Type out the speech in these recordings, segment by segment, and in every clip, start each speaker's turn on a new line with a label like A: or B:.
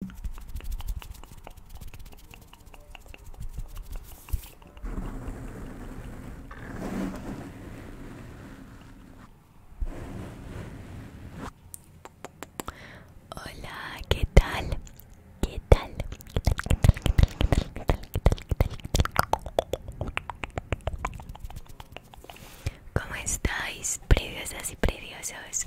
A: Hola, ¿qué tal? ¿Qué tal? ¿Cómo estáis, preciosas y preciosos?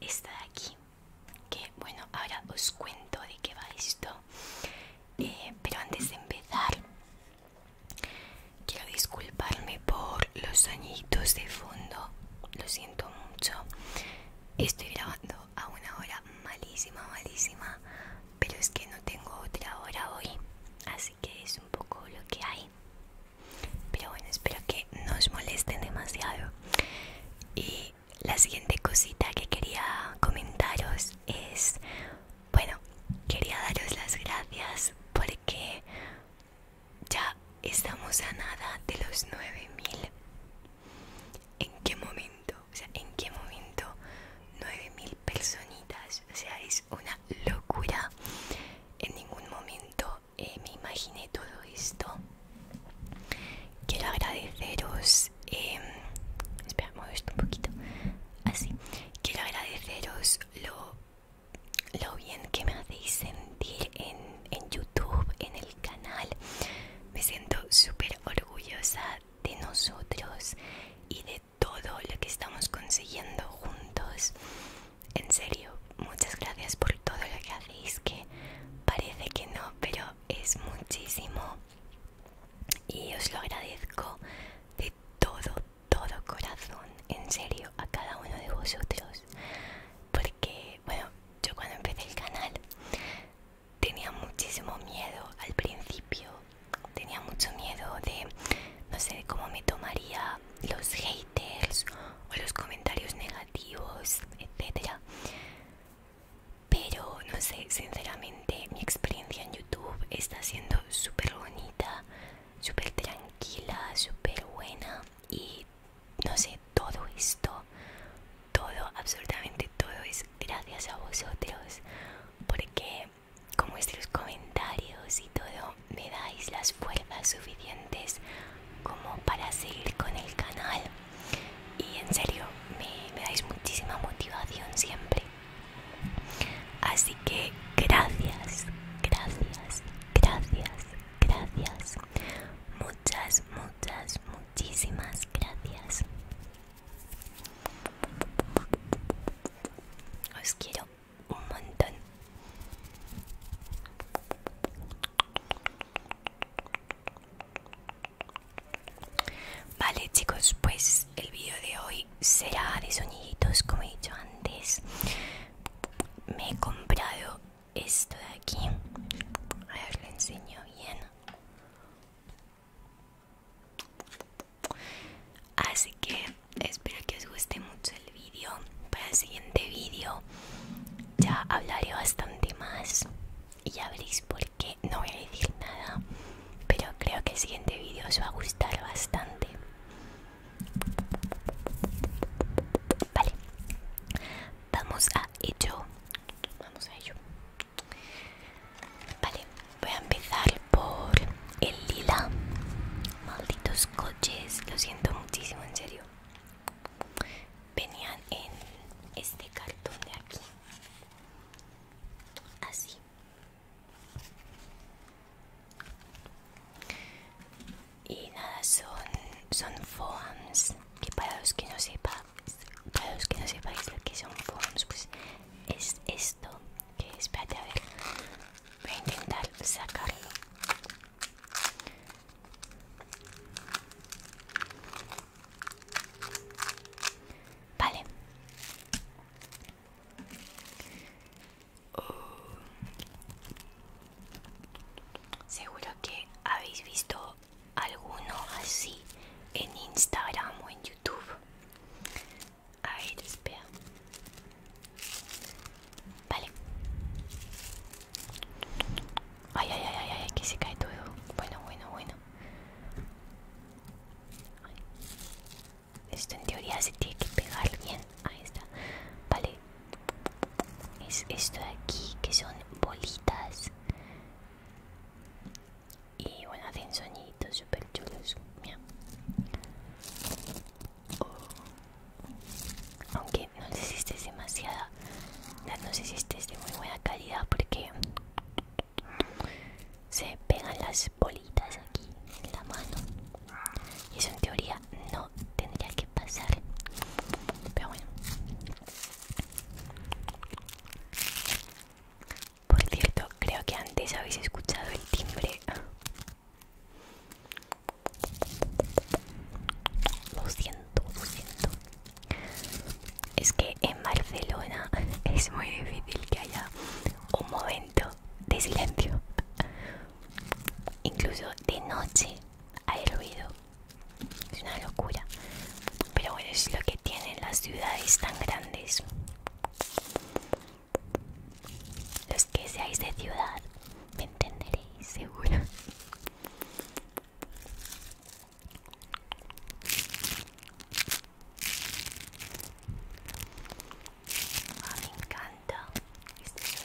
A: esta de aquí que bueno ahora os cuento de qué va esto eh, pero antes de empezar quiero disculparme por los añitos de fondo lo siento mucho estoy grabando a una hora malísima malísima pero es que no tengo otra hora hoy así que es un poco lo que hay pero bueno, espero que no os molesten demasiado. Y la siguiente cosita que quería comentaros es, bueno, quería daros las gracias porque ya estamos a nada de los 9000. ¿En qué momento? O sea, ¿en qué momento 9000 personitas? O sea, es una locura. En ningún momento eh, me imaginé todo esto. Quiero agradeceros. Em, esto un poquito. Así. Quiero agradeceros lo, bien que me hacéis sentir en, en YouTube, en el canal. Me siento súper orgullosa de nosotros y de todo lo que estamos consiguiendo juntos en serio, muchas gracias por todo lo que hacéis, que parece que no, pero es muchísimo. Y os lo agradezco de todo, todo corazón, en serio, a cada uno de vosotros. Porque, bueno, yo cuando empecé el canal tenía muchísimo miedo al principio. Tenía mucho miedo de, no sé, cómo me tomaría los haters o los comentarios negativos, etcétera. Pero no sé, sinceramente mi experiencia en YouTube está siendo súper bonita, súper tranquila, súper buena y no sé, todo esto, todo, absolutamente todo es gracias a vosotros porque con vuestros comentarios y todo me dais las fuerzas suficientes como para seguir con el canal y en serio me, dais muchísima motivación siempre así que gracias gracias gracias gracias muchas muchas muchísimas gracias os quiero un montón Vale chicos, pues el vídeo de hoy será de soñitos como he dicho antes. Me he comprado esto de aquí. A ver, lo enseño bien. Así que espero que os guste mucho el vídeo. Para el siguiente vídeo ya hablaré bastante más y ya veréis por qué. No voy a decir nada, pero creo que el siguiente vídeo os va a gustar bastante. Vale, vamos a ello. Vamos a ello. Vale, voy a empezar por el lila. Malditos coches, lo siento muchísimo, en serio venían en este cartón de aquí así y nada son son foams que para los que no sepa para los que no sepáis lo que son foams pues es esto que espérate a ver voy a intentar sacarlo Vale. Seguro que habéis visto alguno así en Instagram o en YouTube. A ver, espera. Vale. Ay, ay, ay, ay, ay, aquí se cae todo. Bueno, bueno, bueno. Esto en teoría se tiene que pegar bien. Ahí está. Vale. Es esto de aquí que son bolitas. Y bueno, hacen sonidos súper chulos. Mira aunque no sé si estés demasiada no sé si estés de muy buena calidad porque se pegan las bolitas aquí en la mano y eso en teoría no tendría que pasar pero bueno por cierto creo que antes habéis escuchado el timbre lo siento, lo siento. Es que en Barcelona es muy difícil que haya un momento de silencio. Incluso de noche hay ruido. Es una locura. Pero bueno, es lo que tienen las ciudades tan grandes. Los que seáis de ciudad me entenderéis seguro. Ah, me encanta este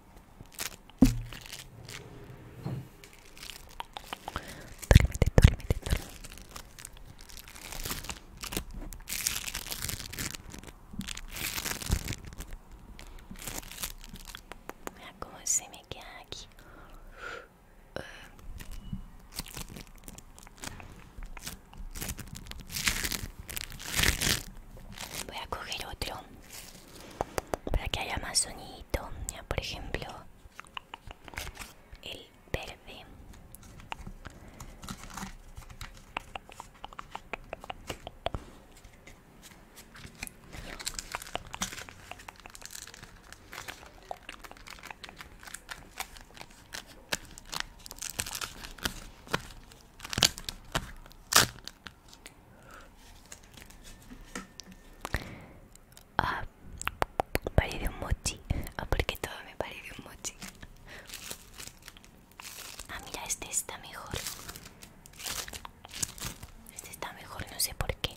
A: Dorme, dorme, dorme. Agora me quer aqui. Uh. Voy a coger otro. para que haya más sonido ya por ejemplo el verde Ah, parece un mochi. Ah, porque todo me parece un mochi. Ah, mira, este está mejor. Este está mejor, no sé por qué.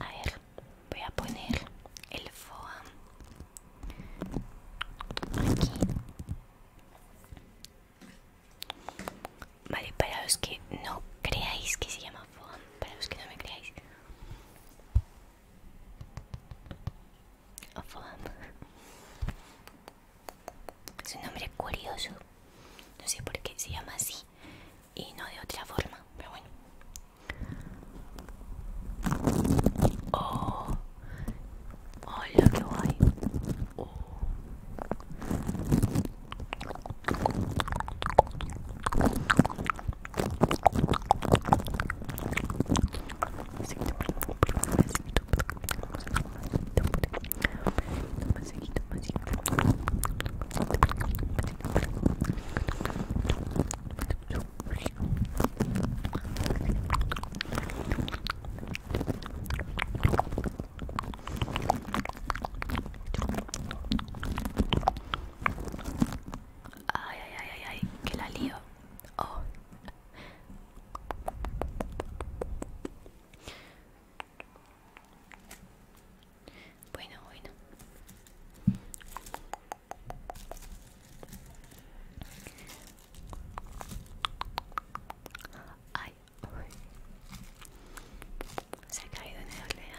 A: A ver, voy a poner el foam aquí. Vale, para los que no creáis que se llama foam, para los que no me creáis. foam. Es un nombre curioso. No sé por qué se llama así y no de otra forma, pero bueno. Oh, hola, que guay. Oh. Ay, ay, ay, ay, que la lío. Oh. Bueno, bueno. Ay, Se ha caído en el ordenador.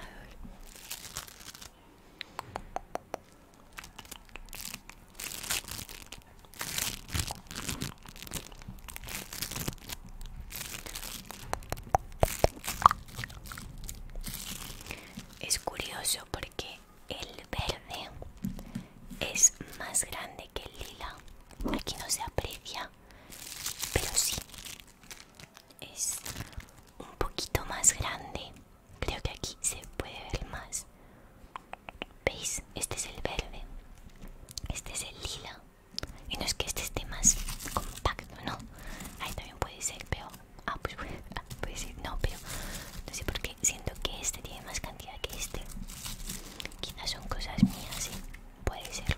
A: Es curioso porque el verde es más grande que el lila. Aquí no se aprecia, pero sí. Es un poquito más grande. Creo que aquí se puede ver más. ¿Veis? Este es el verde. Este es el lila. Y no es que este esté más compacto, no. Ahí también puede ser, pero. Ah, pues ah, puede ser, no, pero. No sé por qué. Siento que este tiene más cantidad que este. Quizás son cosas mías, sí. ¿eh? Puede ser.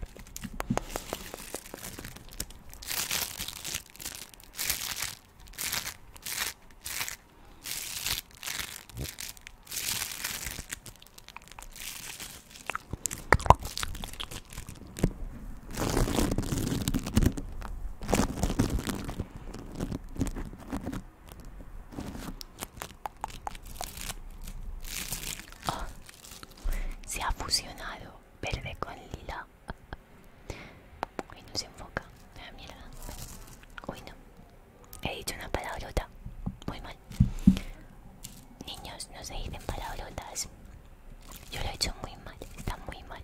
A: Oh, se ha fusionado verde con lila. Y no se enfoca. La ah, mierda. Uy, no. He dicho una palabrota. Muy mal. Niños, no se dicen palabrotas. Yo lo he hecho muy mal, está muy mal.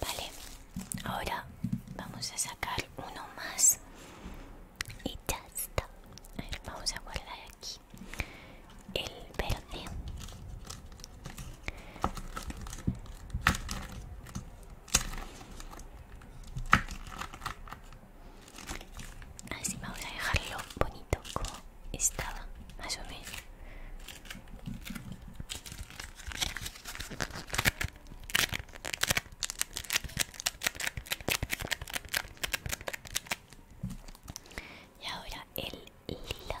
A: Vale, ahora vamos a sacar uno más y ya está. vamos a guardar aquí el verde así vamos a dejarlo bonito como estaba más o menos y ahora el lila.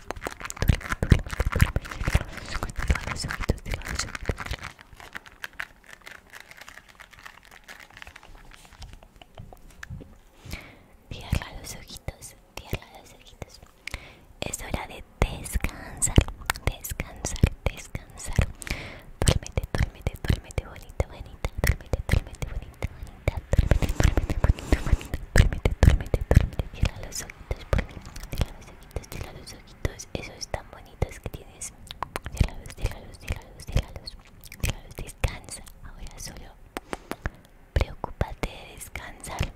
A: Cierra los ojitos, cierra los ojitos. Es hora de descansar, descansar, descansar. Duérmete, duérmete, duérmete bonita, bonita. Duérmete, duérmete bonita, bonita. Duérmete, duérmete bonita, Duérmete, duérmete, ojitos por mí. Cierra los ojitos, cierra los ojitos. Esos tan bonitos que tienes. Ciérralos, ciérralos, ciérralos, ciérralos. Ciérralos, descansa. Ahora solo preocúpate de descansar.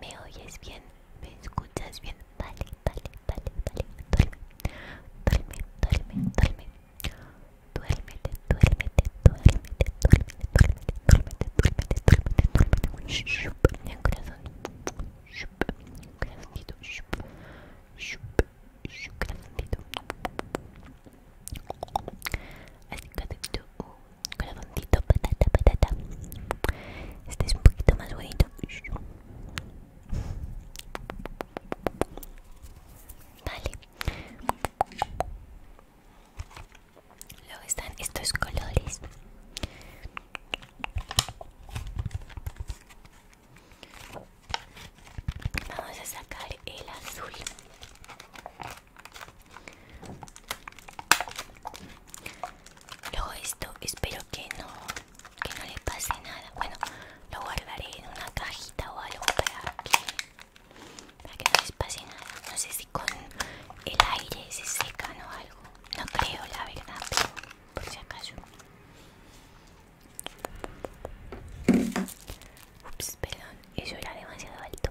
A: ¿Me oyes bien? ¿Me escuchas bien? Vale, vale, vale, vale. Duerme, duerme, duerme, duerme. Duérmete, duérmete, duérmete, duérmete, el corazón. corazoncito. corazoncito. Así corazoncito, patata, patata. Este es un poquito más dale Luego están estos colores. Vamos a sacar el azul. Luego esto, espero que no, que no le pase nada. Bueno, lo guardaré en una cajita o algo para aquí para que no les pase nada. No sé si con el aire se secan o algo. No creo, la verdad, por si acaso. Ups, perdón, eso era demasiado alto.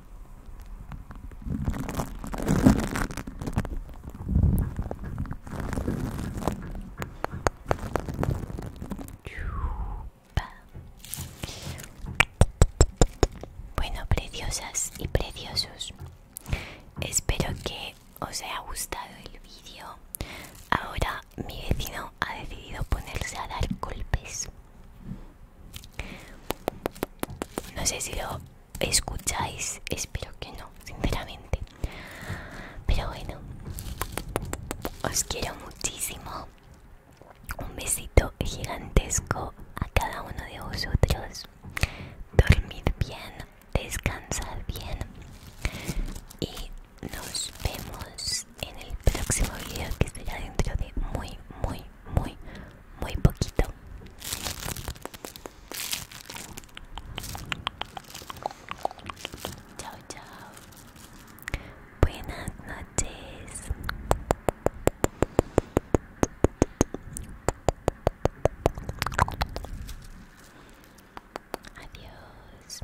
A: Bueno, preciosas y preciosos, espero que os haya gustado el vídeo. Ahora mi vecino ha decidido ponerse a dar golpes. No sé si lo escucháis, espero que no, sinceramente. Pero bueno, os quiero muchísimo. Un besito gigantesco a cada uno de vosotros. Dormid bien, descansad bien. Y nos vemos en el próximo video que será dentro de muy, muy, muy, muy poquito. Chao, chao. Buenas noches. Adiós.